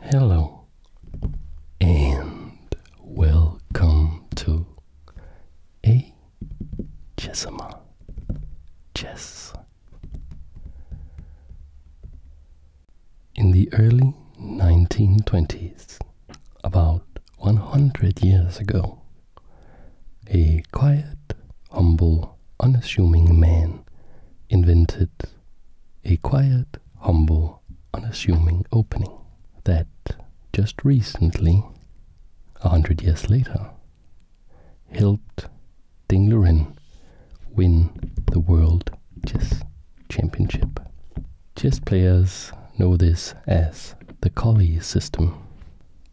Hello and welcome to a Chessama Chess. In the early 1920s, about 100 years ago, a quiet, humble, unassuming man invented a quiet humble, unassuming opening that just recently, a hundred years later, helped Dinglerin win the World Chess Championship. Chess players know this as the Collie system,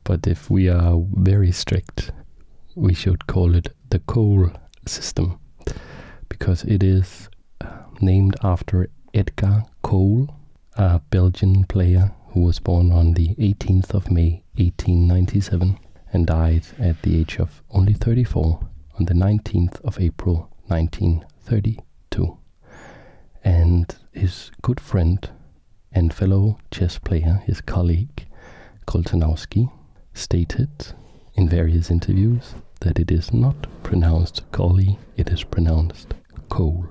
but if we are very strict, we should call it the Cole system because it is uh, named after Edgar Cole, a Belgian player who was born on the 18th of May 1897 and died at the age of only 34 on the 19th of April 1932. And his good friend and fellow chess player, his colleague Koltanowski, stated in various interviews that it is not pronounced Collie, it is pronounced Cole.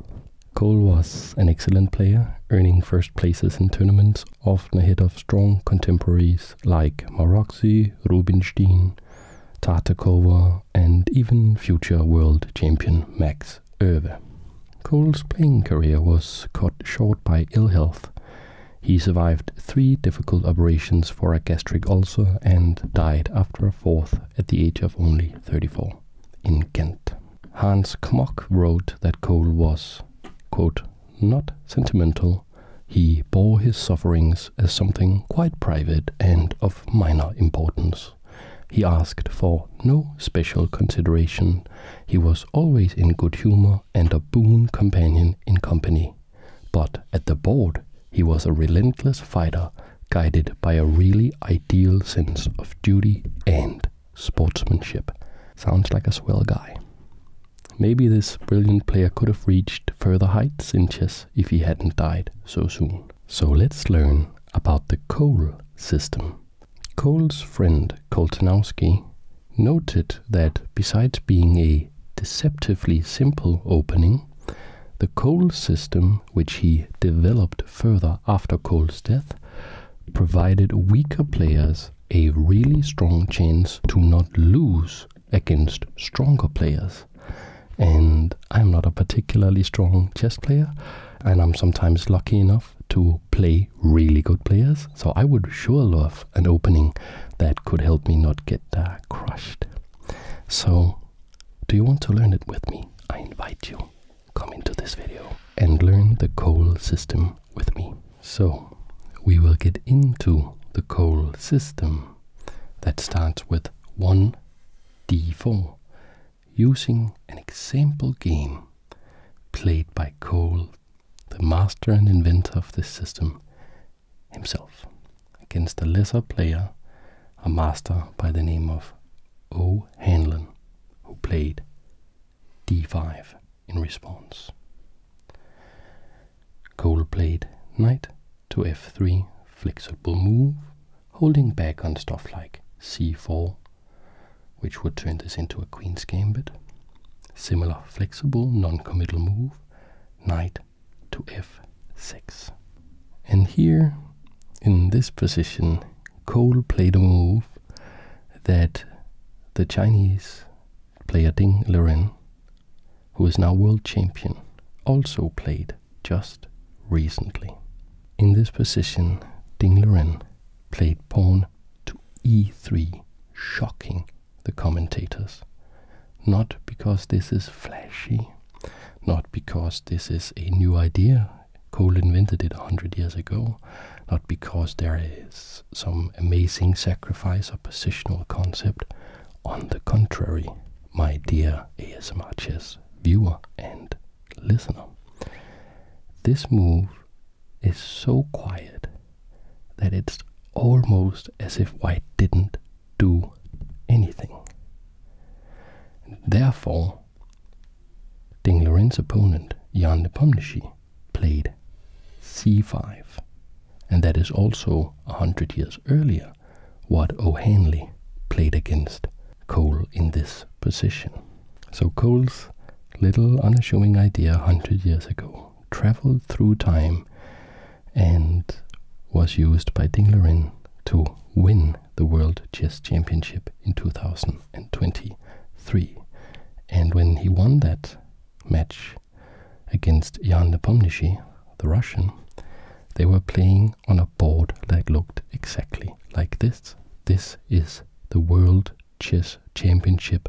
Cole was an excellent player, earning first places in tournaments, often ahead of strong contemporaries like Maroxy, Rubinstein, Tartakova, and even future world champion Max Erve. Cole's playing career was cut short by ill health he survived three difficult operations for a gastric ulcer and died after a fourth at the age of only 34 in Ghent. Hans Kmoch wrote that Cole was, not sentimental. He bore his sufferings as something quite private and of minor importance. He asked for no special consideration. He was always in good humor and a boon companion in company. But at the board, he was a relentless fighter guided by a really ideal sense of duty and sportsmanship. Sounds like a swell guy. Maybe this brilliant player could have reached further heights in chess if he hadn't died so soon. So let's learn about the Cole system. Cole's friend Koltanowski noted that besides being a deceptively simple opening, the Cole system, which he developed further after Cole's death, provided weaker players a really strong chance to not lose against stronger players. And I'm not a particularly strong chess player, and I'm sometimes lucky enough to play really good players. So I would sure love an opening that could help me not get uh, crushed. So, do you want to learn it with me? I invite you. Come into this video and learn the Cole system with me. So, we will get into the Cole system that starts with 1d4 using an example game played by Cole, the master and inventor of this system, himself against a lesser player, a master by the name of O. Hanlon, who played d5 in response. Cole played knight to f3, flexible move, holding back on stuff like c4, which would turn this into a queen's gambit. Similar flexible, non-committal move, knight to f6. And here, in this position, Cole played a move that the Chinese player Ding Liren, who is now world champion, also played just recently. In this position, Ding Liren played pawn to e3, shocking the commentators. Not because this is flashy, not because this is a new idea. Cole invented it 100 years ago, not because there is some amazing sacrifice or positional concept. On the contrary, my dear ASMR viewer and listener, this move is so quiet that it's almost as if White didn't do anything. therefore, Ding Loren's opponent, Jan Nepomniachtchi, played c5, and that is also a hundred years earlier what O'Hanley played against Cole in this position. So Cole's little unassuming idea a hundred years ago traveled through time and was used by Dinglerin to win the World Chess Championship in 2023. And when he won that match against Jan Nepomniachtchi, the Russian, they were playing on a board that looked exactly like this. This is the World Chess Championship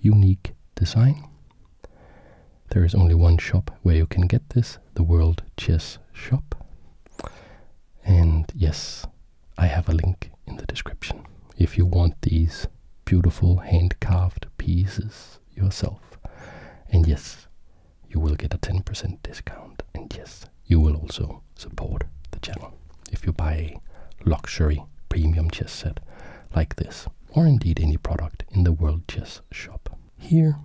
unique design. There is only one shop where you can get this, the World Chess Shop. And yes, I have a link in the description if you want these beautiful hand-carved pieces yourself. And yes, you will get a 10% discount. And yes, you will also support the channel if you buy a luxury premium chess set like this, or indeed any product in the World Chess here,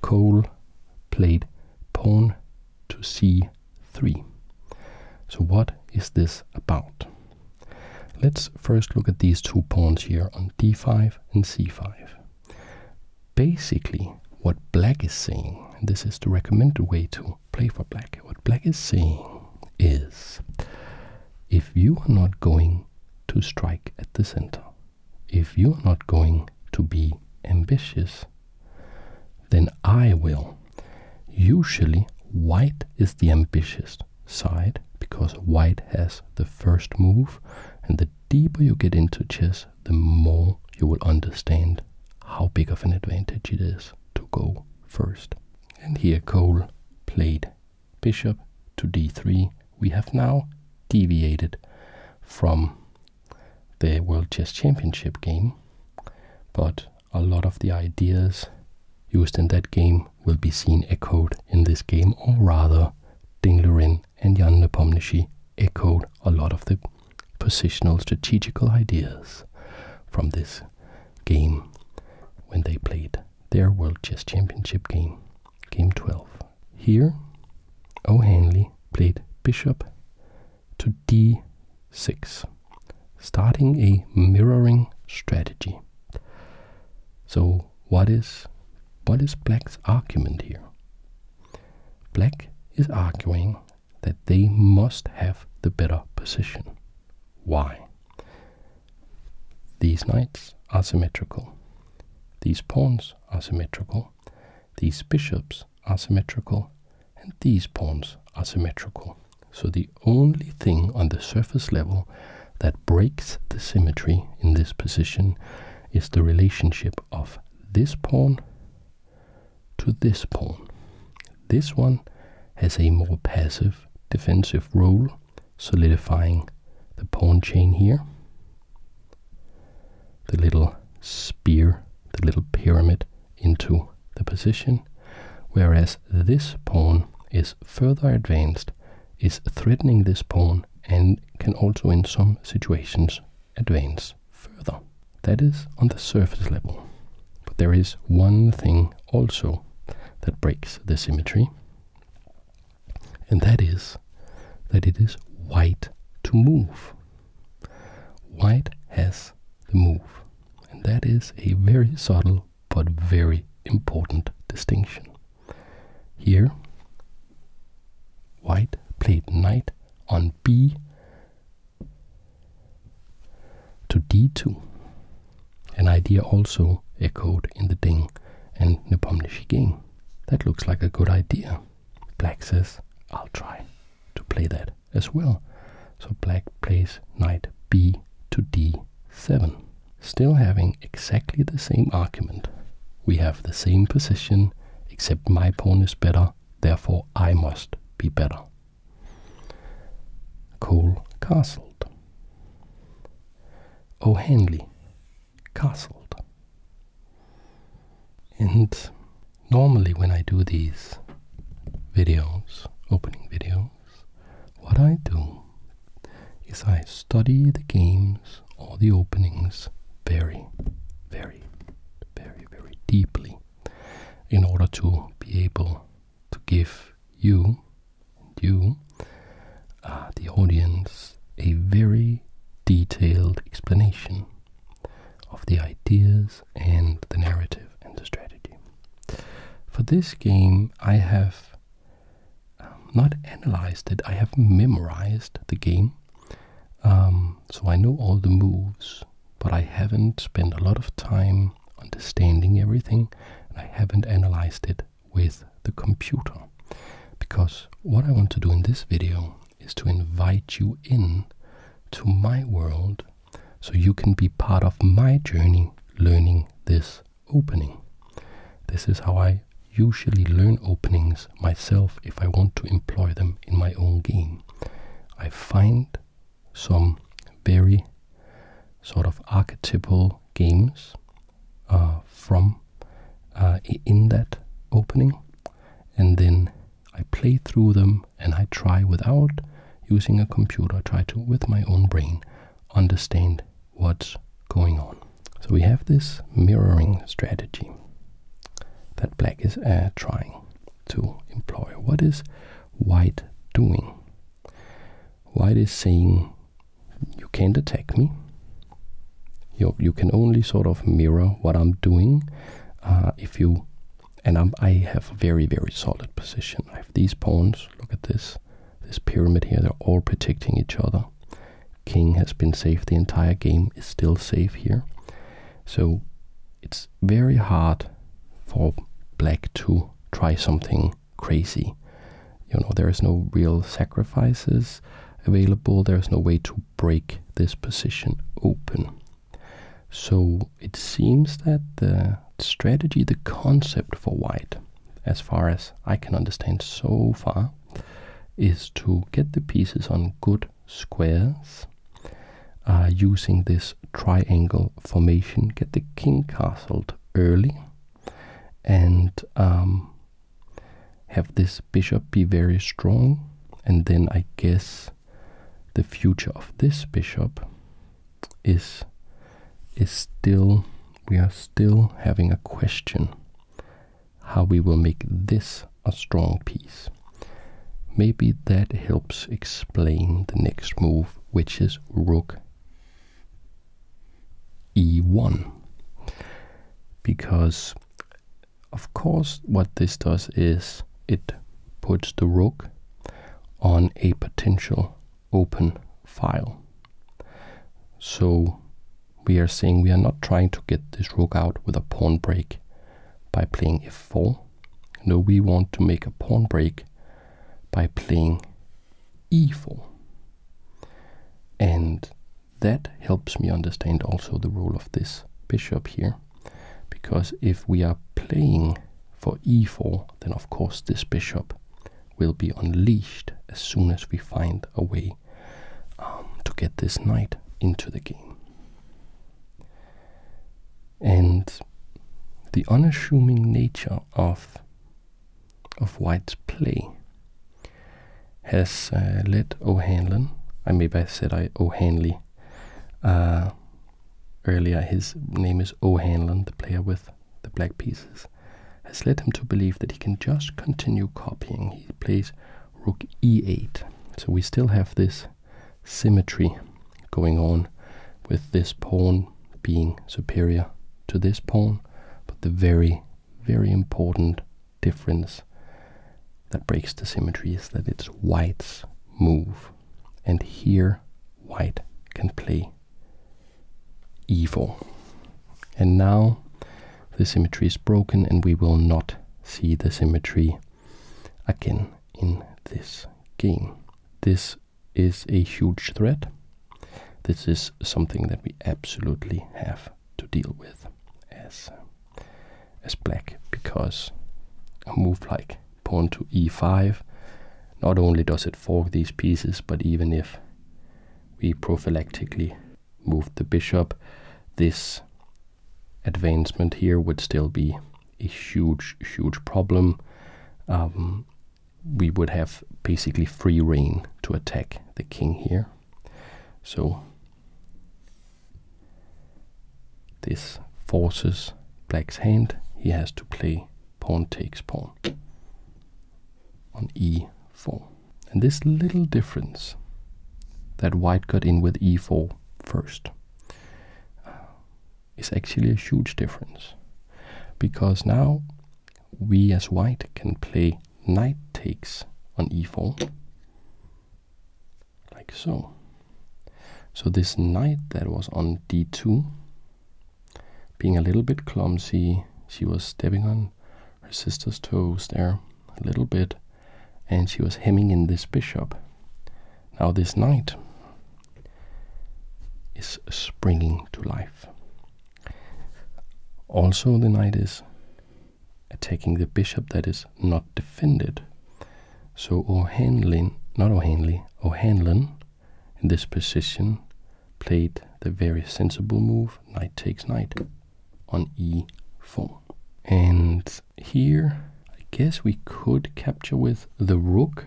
Cole played pawn to c3. So what is this about? Let's first look at these two pawns here on d5 and c5. Basically, what black is saying, and this is the recommended way to play for black, what black is saying is if you are not going to strike at the center, if you are not going to be ambitious, then I will. Usually, white is the ambitious side because white has the first move, and the deeper you get into chess, the more you will understand how big of an advantage it is to go first. And here Cole played bishop to d3, we have now deviated from the World Chess Championship game, but a lot of the ideas used in that game will be seen echoed in this game, or rather, Ding Lurin and Jan Nepomniachtchi echoed a lot of the positional strategical ideas from this game when they played their World Chess Championship game, game 12. Here, O'Hanley played bishop to d6, starting a mirroring strategy. So what is what is black's argument here? Black is arguing that they must have the better position. Why? These knights are symmetrical. These pawns are symmetrical. These bishops are symmetrical. And these pawns are symmetrical. So the only thing on the surface level that breaks the symmetry in this position is the relationship of this pawn to this pawn. This one has a more passive defensive role solidifying the pawn chain here. The little spear, the little pyramid into the position, whereas this pawn is further advanced, is threatening this pawn, and can also in some situations advance further. That is on the surface level. But there is one thing also that breaks the symmetry, and that is that it is white to move. White has the move, and that is a very subtle but very important distinction. Here, white played knight on b to d2, an idea also echoed in the ding and Nepomniachtchi King. That looks like a good idea. Black says, I'll try to play that as well. So black plays knight b to d7. Still having exactly the same argument. We have the same position, except my pawn is better, therefore I must be better. Cole castled. Henley castled. And normally when I do these videos, opening videos, what I do is I study the games or the openings very, very, very, very deeply in order to be able to give you you, uh, the audience, a very detailed explanation of the ideas and the narrative and the strategy. For this game, I have um, not analyzed it, I have memorized the game. Um, so I know all the moves, but I haven't spent a lot of time understanding everything and I haven't analyzed it with the computer. Because what I want to do in this video is to invite you in to my world so you can be part of my journey learning this opening. This is how I usually learn openings myself if I want to employ them in my own game. I find some very sort of archetypal games uh, from uh, in that opening, and then I play through them and I try without using a computer, try to with my own brain understand what's going on. So we have this mirroring strategy that black is uh, trying to employ. What is white doing? White is saying you can't attack me. You you can only sort of mirror what I'm doing. Uh, if you and i I have a very very solid position. I have these pawns. Look at this this pyramid here. They're all protecting each other. King has been safe the entire game. Is still safe here. So it's very hard for black to try something crazy you know there is no real sacrifices available there's no way to break this position open so it seems that the strategy the concept for white as far as i can understand so far is to get the pieces on good squares uh, using this triangle formation get the king castled early and um, have this bishop be very strong, and then I guess the future of this bishop is is still we are still having a question how we will make this a strong piece. Maybe that helps explain the next move, which is rook e1 because of course what this does is it puts the rook on a potential open file so we are saying we are not trying to get this rook out with a pawn break by playing f4 no we want to make a pawn break by playing e4 and that helps me understand also the role of this bishop here. Because if we are playing for e4, then of course this bishop will be unleashed as soon as we find a way um, to get this knight into the game. And the unassuming nature of of White's play has uh, led O'Hanlon, I maybe I said I O'Hanley uh, earlier, his name is O'Hanlon, the player with the black pieces, has led him to believe that he can just continue copying. He plays rook e8, so we still have this symmetry going on with this pawn being superior to this pawn, but the very very important difference that breaks the symmetry is that it's white's move. And here, white can play evil. And now the symmetry is broken and we will not see the symmetry again in this game. This is a huge threat. This is something that we absolutely have to deal with as uh, as black because a move like pawn to e5 not only does it fork these pieces but even if we prophylactically moved the bishop this advancement here would still be a huge huge problem um, we would have basically free reign to attack the king here so this forces black's hand. He has to play pawn takes pawn on e4. And this little difference that white got in with e4 first uh, is actually a huge difference because now we as white can play knight takes on e4 like so so this knight that was on d2 being a little bit clumsy she was stepping on her sister's toes there a little bit and she was hemming in this bishop now this knight is springing to life also the knight is attacking the bishop that is not defended. So O'Hanlon, not O'Hanley, O'Hanlon in this position played the very sensible move, knight takes knight on e4. And here, I guess we could capture with the rook,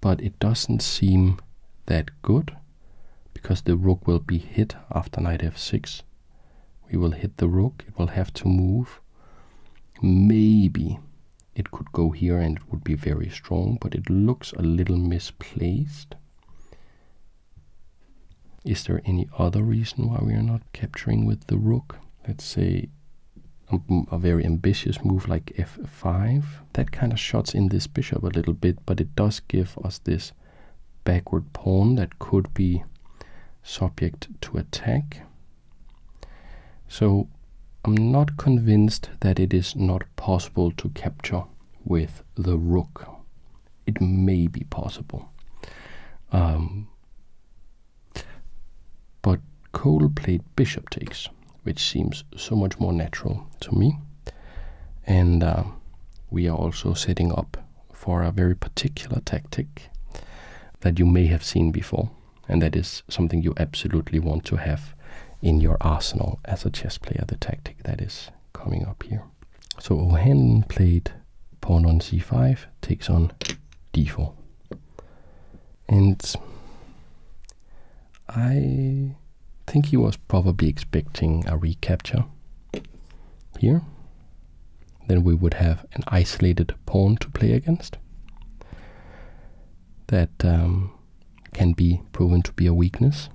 but it doesn't seem that good because the rook will be hit after knight f6. We will hit the rook, it will have to move. Maybe it could go here and it would be very strong, but it looks a little misplaced. Is there any other reason why we are not capturing with the rook? Let's say a very ambitious move like f5. That kind of shuts in this bishop a little bit, but it does give us this backward pawn that could be subject to attack. So I'm not convinced that it is not possible to capture with the rook. It may be possible. Um, but Cole played bishop takes, which seems so much more natural to me and um, we are also setting up for a very particular tactic that you may have seen before, and that is something you absolutely want to have in your arsenal as a chess player, the tactic that is coming up here. So O'Hanlon played pawn on c5, takes on d4. And I I think he was probably expecting a recapture here. Then we would have an isolated pawn to play against. That um, can be proven to be a weakness,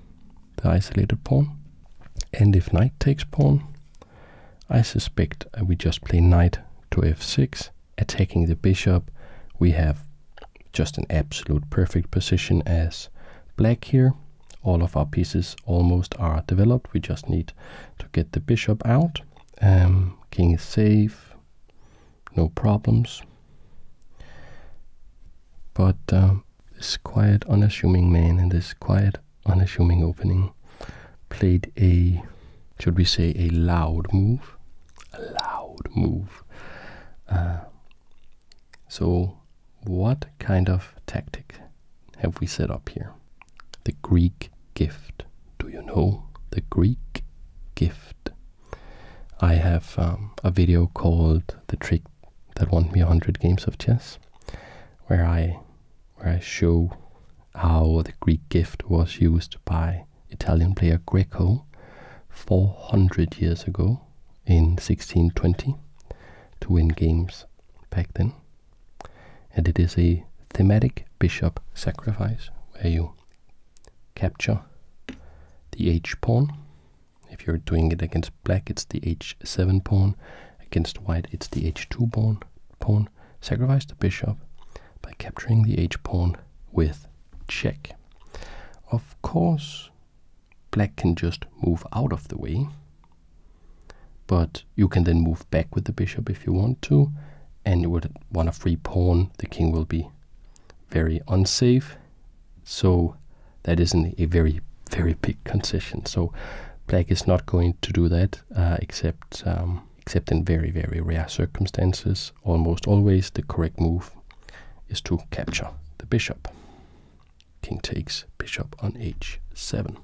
the isolated pawn. And if knight takes pawn, I suspect uh, we just play knight to f6, attacking the bishop. We have just an absolute perfect position as black here all of our pieces almost are developed. We just need to get the bishop out. Um, king is safe, no problems. But um, this quiet, unassuming man in this quiet, unassuming opening played a, should we say, a loud move. A loud move. Uh, so what kind of tactic have we set up here? The Greek gift. Do you know the Greek gift? I have um, a video called "The Trick That Won Me 100 Games of Chess," where I where I show how the Greek gift was used by Italian player Greco 400 years ago in 1620 to win games back then. And it is a thematic bishop sacrifice where you capture the h pawn. If you're doing it against black, it's the h7 pawn. Against white, it's the h2 pawn. pawn. Sacrifice the bishop by capturing the h pawn with check. Of course, Black can just move out of the way. But you can then move back with the bishop if you want to. And you would want a free pawn. The king will be very unsafe. So that isn't a very, very big concession. So black is not going to do that uh, except um, except in very, very rare circumstances. Almost always the correct move is to capture the bishop king takes bishop on h7.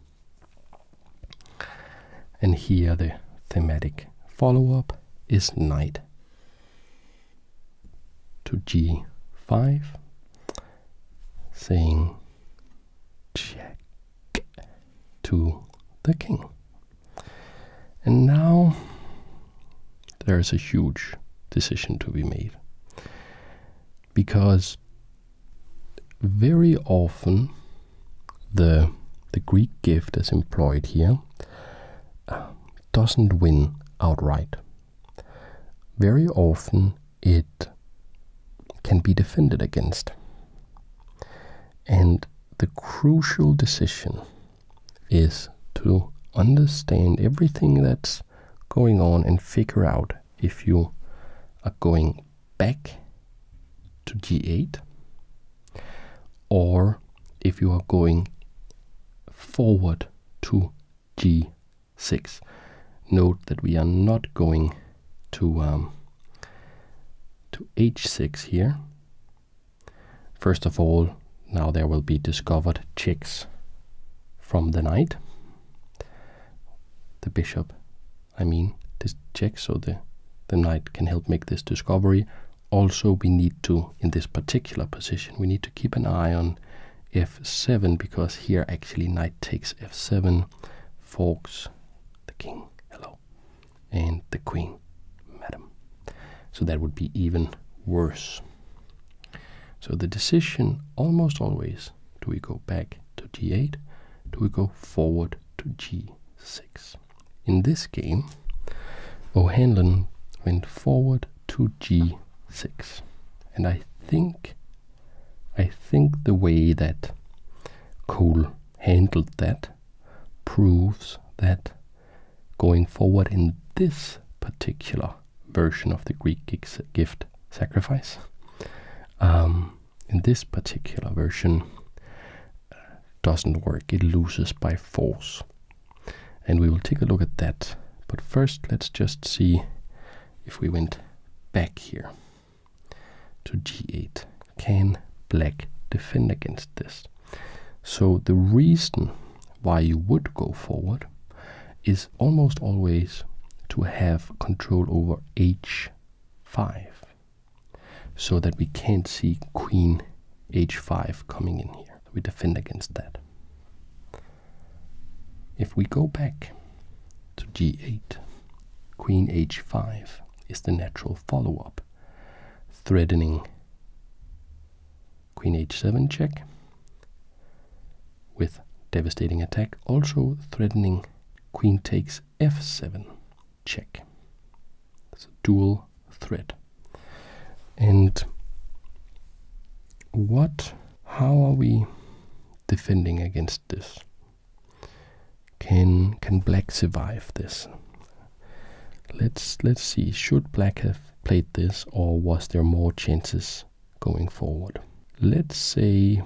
And here the thematic follow up is knight to g5, saying check to the king. And now there is a huge decision to be made because very often the the Greek gift is employed here uh, doesn't win outright. Very often it can be defended against. And the crucial decision is to understand everything that's going on and figure out if you are going back to g8 or if you are going forward to g6. Note that we are not going to um, to h6 here. First of all, now there will be discovered checks from the knight the bishop, I mean, this check so the, the knight can help make this discovery. Also, we need to, in this particular position, we need to keep an eye on f7 because here actually knight takes f7, forks the king, hello, and the queen, madam. So that would be even worse. So the decision almost always do we go back to g8? Do we go forward to g6? In this game, O'Hanlon went forward to g6. And I think I think the way that Cole handled that proves that going forward in this particular version of the Greek gift sacrifice. Um, in this particular version, uh, doesn't work. It loses by force. And we will take a look at that. But first, let's just see if we went back here to g8. Can black defend against this? So the reason why you would go forward is almost always to have control over h5 so that we can't see queen h5 coming in here. We defend against that. If we go back to g8, queen h5 is the natural follow-up, threatening queen h7 check, with devastating attack, also threatening queen takes f7 check. It's a dual threat. And what, how are we defending against this? Can can black survive this? Let's let's see. Should black have played this, or was there more chances going forward. Let's say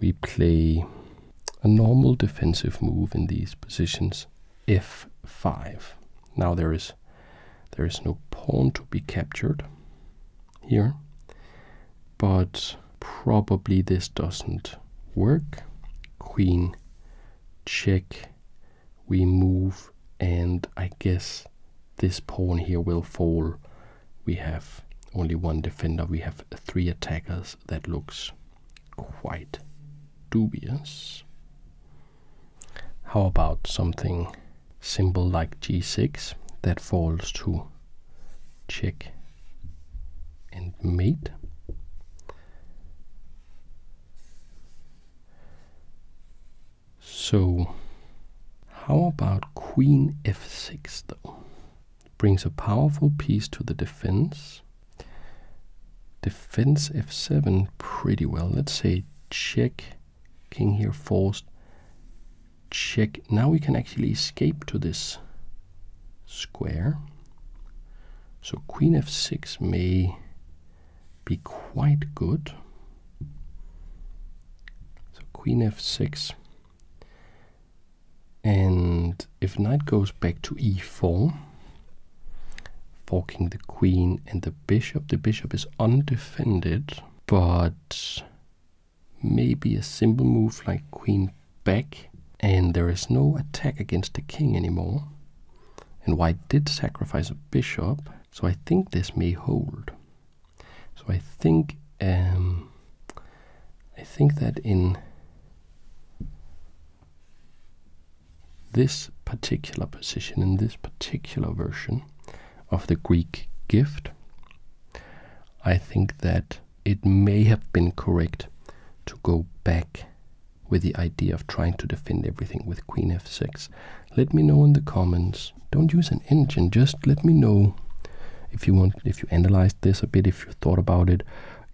we play a normal defensive move in these positions, f5. Now there is there is no pawn to be captured here, but probably this doesn't work. Queen check, we move, and I guess this pawn here will fall. We have only one defender, we have three attackers. That looks quite dubious. How about something simple like g6 that falls to check and mate? So, how about queen f6 though? Brings a powerful piece to the defense. Defense f7 pretty well. Let's say check, king here forced, check. Now we can actually escape to this square. So queen f6 may be quite good. So queen f6 and if knight goes back to e4, forking the queen and the bishop, the bishop is undefended, but maybe a simple move like queen back, and there is no attack against the king anymore. And white did sacrifice a bishop, so I think this may hold. So I think um, I think that in this particular position, in this particular version of the Greek gift, I think that it may have been correct to go back with the idea of trying to defend everything with queen f6. Let me know in the comments don't use an engine just let me know if you want if you analyzed this a bit if you thought about it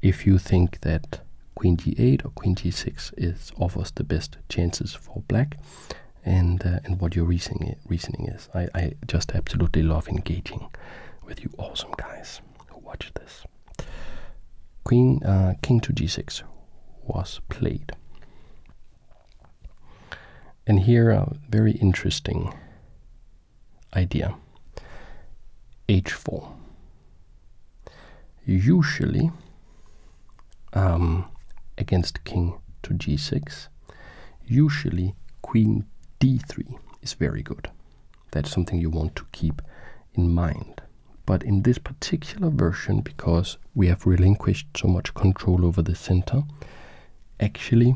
if you think that queen g8 or queen g6 is offers the best chances for black and uh, and what your reasoning reasoning is I, just absolutely love engaging with you awesome guys who watch this queen uh, king to g6 was played and here, a very interesting idea h4. Usually, um, against king to g6, usually queen d3 is very good. That's something you want to keep in mind. But in this particular version, because we have relinquished so much control over the center, actually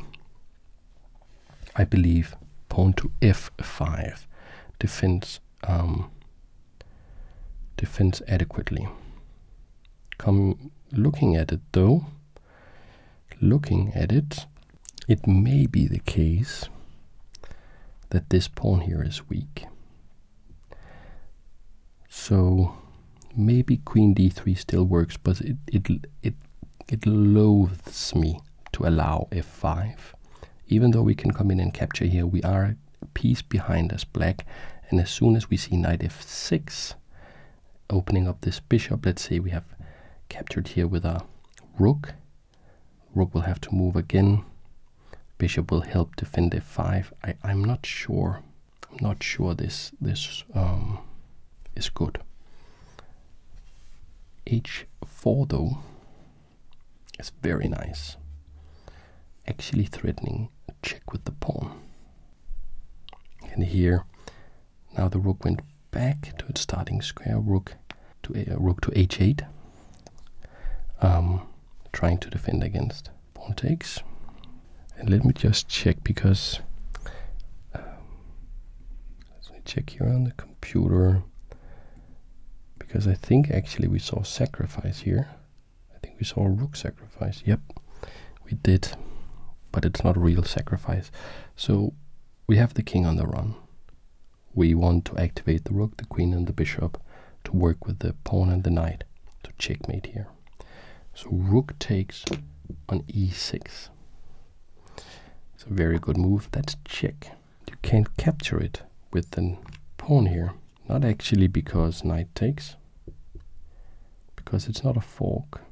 I believe pawn to f5 defends um, defends adequately. Come looking at it though, looking at it, it may be the case that this pawn here is weak. So Maybe queen d3 still works, but it it it it loathes me to allow f5. Even though we can come in and capture here, we are a piece behind as black, and as soon as we see knight f6, opening up this bishop, let's say we have captured here with our rook. Rook will have to move again. Bishop will help defend f5. I, I'm not sure. I'm not sure this this um, is good. H4 though is very nice. Actually threatening a check with the pawn. And here, now the rook went back to its starting square. Rook to a, eh, rook to h8. Um, trying to defend against pawn takes. And let me just check because um, let me check here on the computer because I think actually we saw sacrifice here. I think we saw a rook sacrifice. Yep, we did, but it's not real sacrifice. So we have the king on the run. We want to activate the rook, the queen, and the bishop to work with the pawn and the knight to checkmate here. So rook takes on e6. It's a very good move. That's check. You can't capture it with the pawn here. Not actually because knight takes, because it's not a fork,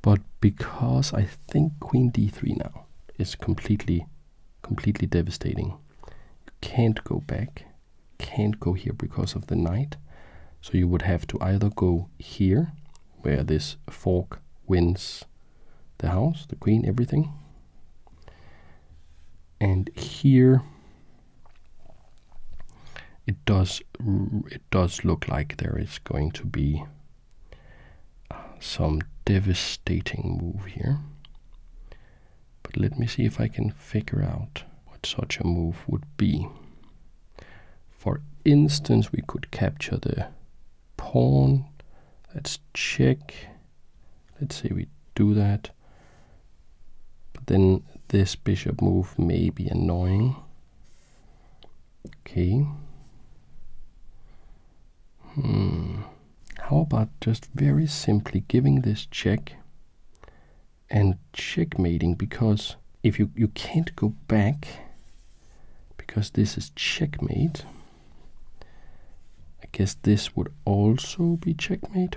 but because I think queen d3 now is completely, completely devastating. You can't go back, can't go here because of the knight. So you would have to either go here where this fork wins the house, the queen, everything. And here it does it does look like there is going to be uh, some devastating move here. But let me see if I can figure out what such a move would be. For instance, we could capture the pawn. Let's check. Let's say we do that. But then this bishop move may be annoying. Okay. Hmm. How about just very simply giving this check and checkmating because if you, you can't go back because this is checkmate. I guess this would also be checkmate.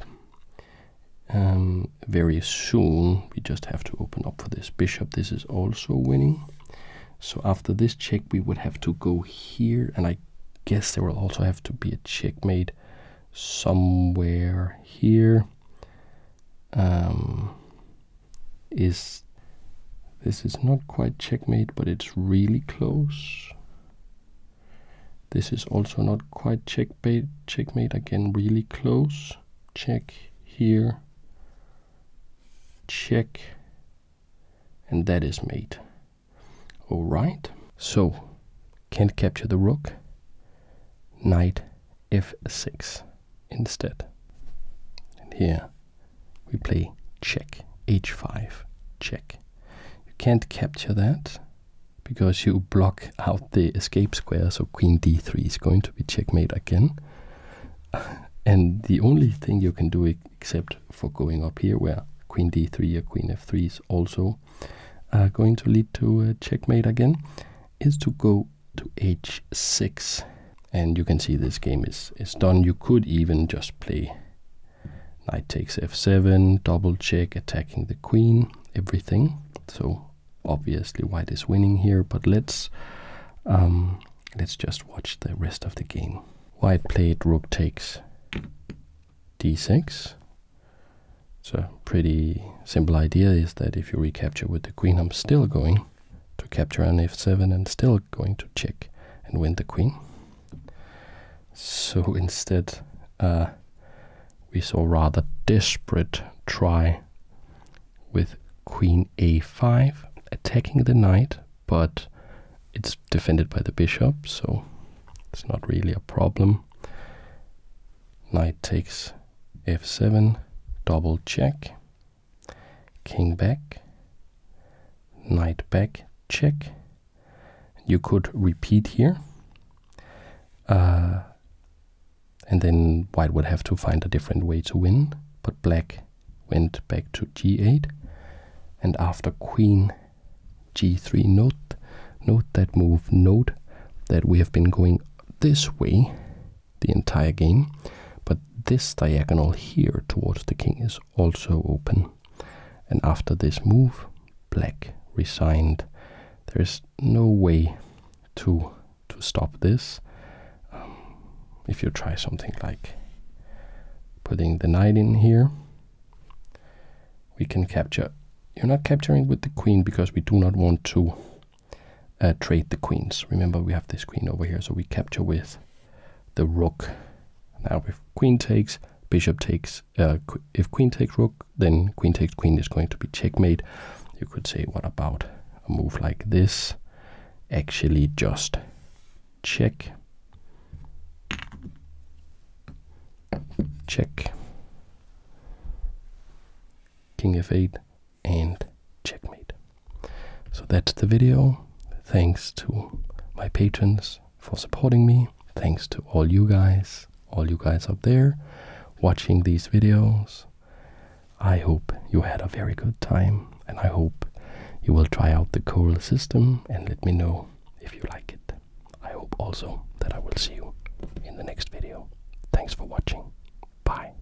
Um, very soon we just have to open up for this bishop. This is also winning. So after this check we would have to go here and I guess there will also have to be a checkmate somewhere here. Um, is this is not quite checkmate, but it's really close. This is also not quite checkmate, checkmate again, really close. Check here, check, and that is mate. All right, so can't capture the rook, knight f6 instead. And here we play check, h5, check. You can't capture that because you block out the escape square, so queen d3 is going to be checkmate again. and the only thing you can do except for going up here where queen d3 or queen f3 is also uh, going to lead to a checkmate again is to go to h6 and you can see this game is is done you could even just play knight takes f7 double check attacking the queen everything so obviously white is winning here but let's um, let's just watch the rest of the game white played rook takes d6 so pretty simple idea is that if you recapture with the queen i'm still going to capture on f7 and still going to check and win the queen. So instead, uh, we saw rather desperate try with queen a5 attacking the knight, but it's defended by the bishop, so it's not really a problem. Knight takes f7, double check, king back, knight back, check. You could repeat here. Uh, and then white would have to find a different way to win, but black went back to g8. And after queen g3, note, note that move, note that we have been going this way the entire game. But this diagonal here towards the king is also open. And after this move, black resigned. There is no way to to stop this. Um, if you try something like putting the knight in here, we can capture. You're not capturing with the queen because we do not want to uh, trade the queens. Remember, we have this queen over here, so we capture with the rook. Now, if queen takes, bishop takes, uh, if queen takes rook, then queen takes queen is going to be checkmate. You could say, what about a move like this? Actually, just check, check, king f8, and checkmate. So that's the video. Thanks to my patrons for supporting me. Thanks to all you guys, all you guys up there watching these videos. I hope you had a very good time and I hope you will try out the Coral system and let me know if you like it. I hope also that I will see you in the next video. Thanks for watching. Bye.